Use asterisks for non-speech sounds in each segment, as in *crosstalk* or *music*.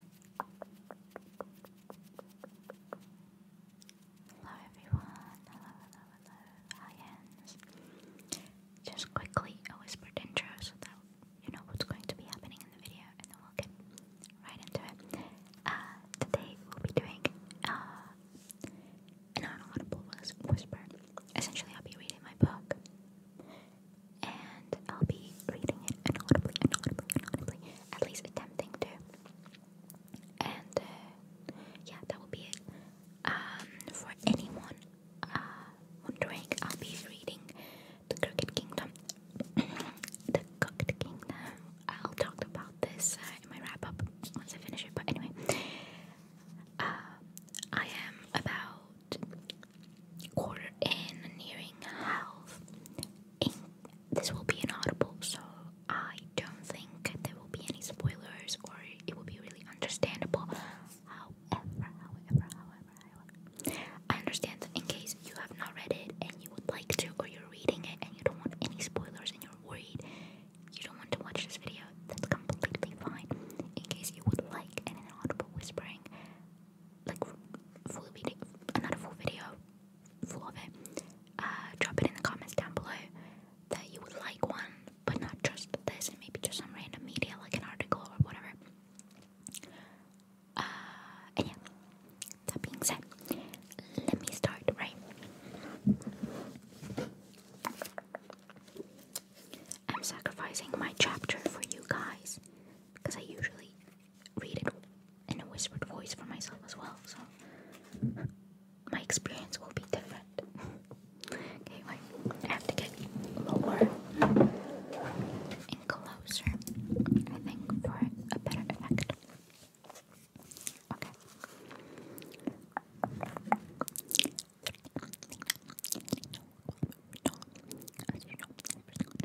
Hello everyone, hello, hello, hello, Aliens. Just quickly, a whispered intro so that you know what's going to be happening in the video and then we'll get right into it. Uh, today we'll be doing uh, an unaudible whisper. Essentially, I'll be reading my book and I'll be reading it inaudibly, inaudibly, inaudibly, at least attempting to. And uh, yeah, that will be it. Um, for anyone uh, wondering, I'll be reading The Crooked Kingdom. *coughs* the Crooked Kingdom. I'll talk about this uh, in my wrap up once I finish it, but anyway. Uh, I am about quarter in, nearing half in, this will be inaudible, so I don't think there will be any spoilers or it will be really understandable. However, however, however, however, I understand in case you have not read it and you would like to, or you're reading it and you don't want any spoilers and you're worried you don't want to watch this video, that's completely fine. In case you would like an audible whispering, like full video, another full video full of it, uh, drop it in the comments down below that you would like one, but not just this, and maybe just some random media like an article or whatever. Uh, and yeah, that being said, let me start, right? I'm sacrificing my chapter for you guys because I usually read it in a whispered voice for myself as well, so my experience will be different. okay, I have to get lower and closer, I think, for a better effect. Okay.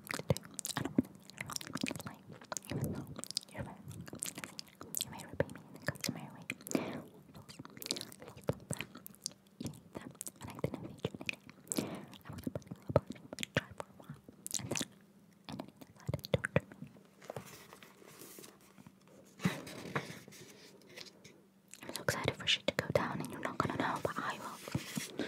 I don't want to be polite, even though you're very You may repay me in the customary way. Eat them, and I didn't feed you anything. I was putting up a bunch of try for a while, and then and then decided to torture me. I'm so excited for shit to go down, and you're not gonna know, but I will.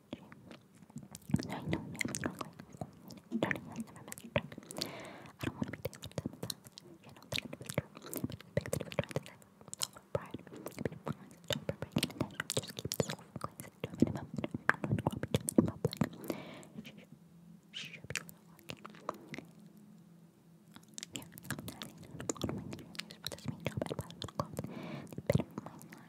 No, I Don't want to be dealing with them, you that it was true. But the big thing was trying to say, solar pride, be fine, don't prepare an attention, just keep the soul from cleansing to a minimum. i not going to be doing in She, should be walking. Yeah, I'm not saying, I don't this means, but I bought a little coat. They better remind me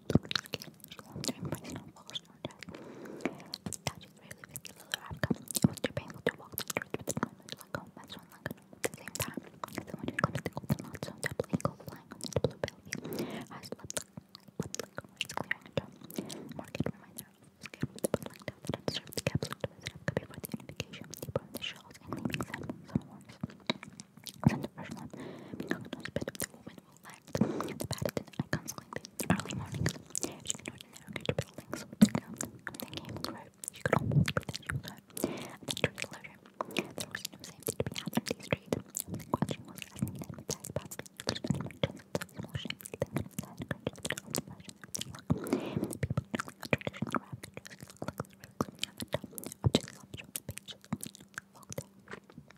during my snowballs or death. But that is really regular outcome. It was too painful to walk the street with my much like home best at the same time. So when it comes to golden not so double eagle flying on its blue belly, I slept like slept like a rice clearing a drum. Market reminder of the scare of the public like that had served the capsule to visit up before the unification, deep on the shells and leaving sand some horns. Send the first one being a bit of the woman relax. The Paddington icons like the early mornings. She could not navigate the buildings with the guns. Then came the road. She could almost pretend she was home. And then turned the leisure. There was no safety to be had on the street. And the question was as needed with that about the spending just of small shapes. Then it had encouraged the old fashion of the look. And the people doing a traditional rap just looked like the relics of the top. Objects off the pages on the lockdown.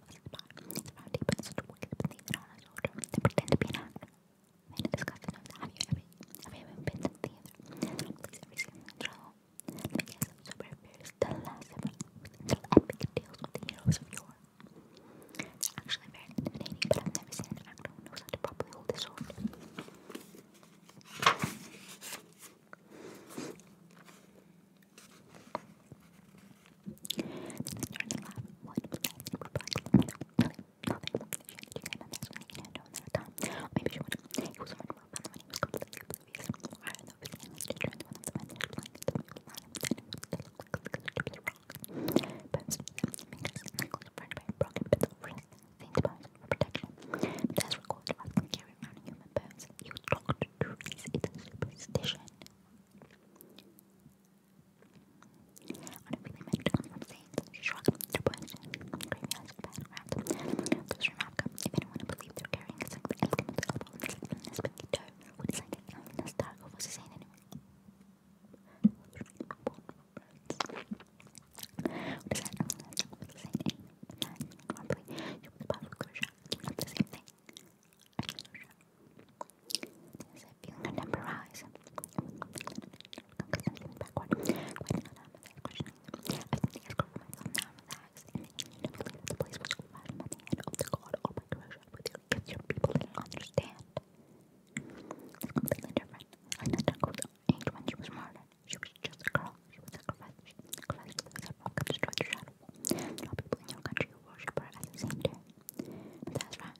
They pretend to be an Have you ever, have you ever been to the theater? Please, every single The guests of superheroes tell us tell epic tales of the heroes of yore. It's actually very intimidating, but I've never seen an actor who knows how to properly hold his sword started laugh. What was that? Maybe she wouldn't. He was wondering about the money was completely oblivious. Why are those families to join one of the men that flying into the middle line of the They look like a stupid rock. But fingers and ankles fried by a broken bit of wrist, faint bones for protection. That's recorded as they carry around human bones. You talk to trees, it's a superstition. On a really meant on the same shrug their bush, gravy eyes with bad around. Those from Africa, if anyone would believe they're carrying a six Eskimo elbow and six in this pinky toe, would decide that Alien has Targo was his hand anyway. Would decide Alien has Targo was his hand anyway. you would probably close your eyes. the same thing. There's a feeling that never rise. Constantly backward. Quite another question. I think it's good for myself now, relax, and you know, believe the place which will find at the end of the God or my treasure with your gifts your people didn't understand. It's completely different. Like that dog was age when she was murdered. She was just a girl. She was sacrificed. She was sacrificed to the rock and destroyed the shadow. There are people in your country who worship her as a saint too. And that's right.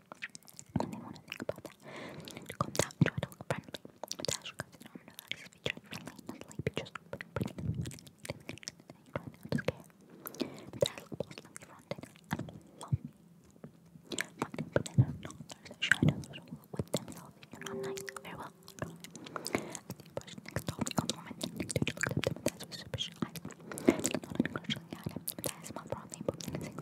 I did want to think about that. I down try to look friendly. But as you know, I'm not always friendly, not sleepy, just pretty and funny. And try not to scare. But I look boldly fronted and lumpy. Fronted, but then I'm not. There's a shadow with themselves. You're not nice. Very well. As the brush next to me, on the moment, the next dude looked up to me with his suspicious I looked not encouragingly at but I smiled broadly, but then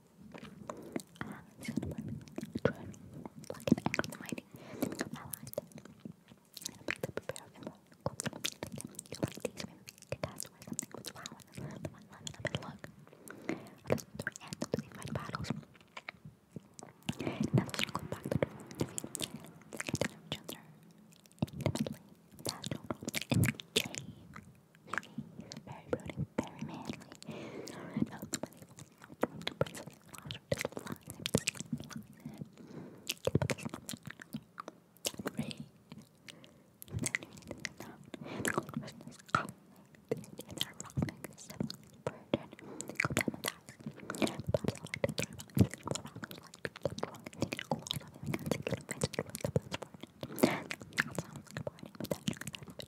and cinnamon, drone, like an angry mighty, I like them. And I picked up a pair of emerald quartz, you like these, maybe cast away something with flowers, the one lemon, a bit look. Those three answers, they fight battles. Now the circle back to the defeat. They get to know each other intimately, that's no problem. In the cave, very brooding, very manly. Alright, now it's funny. I'm to press it. I'm just flying it. Great. And then you need to know the question is calling. And they're wrong. Step on the burden. Go down the dice. But I like to throw about things wrong. I like to get wrong. I think it's cool. I think I can take it. I just want the best part. That sounds like a party, but that's not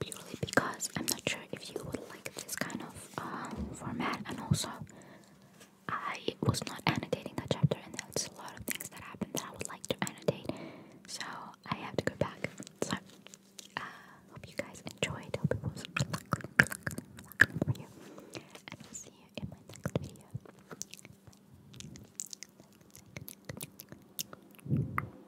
purely because I'm not sure if you would like this kind of um, format, and also I was not annotating that chapter, and there's a lot of things that happened that I would like to annotate, so I have to go back. So, uh, hope you guys enjoyed. Hope it was relaxing, for you, and I'll see you in my next video.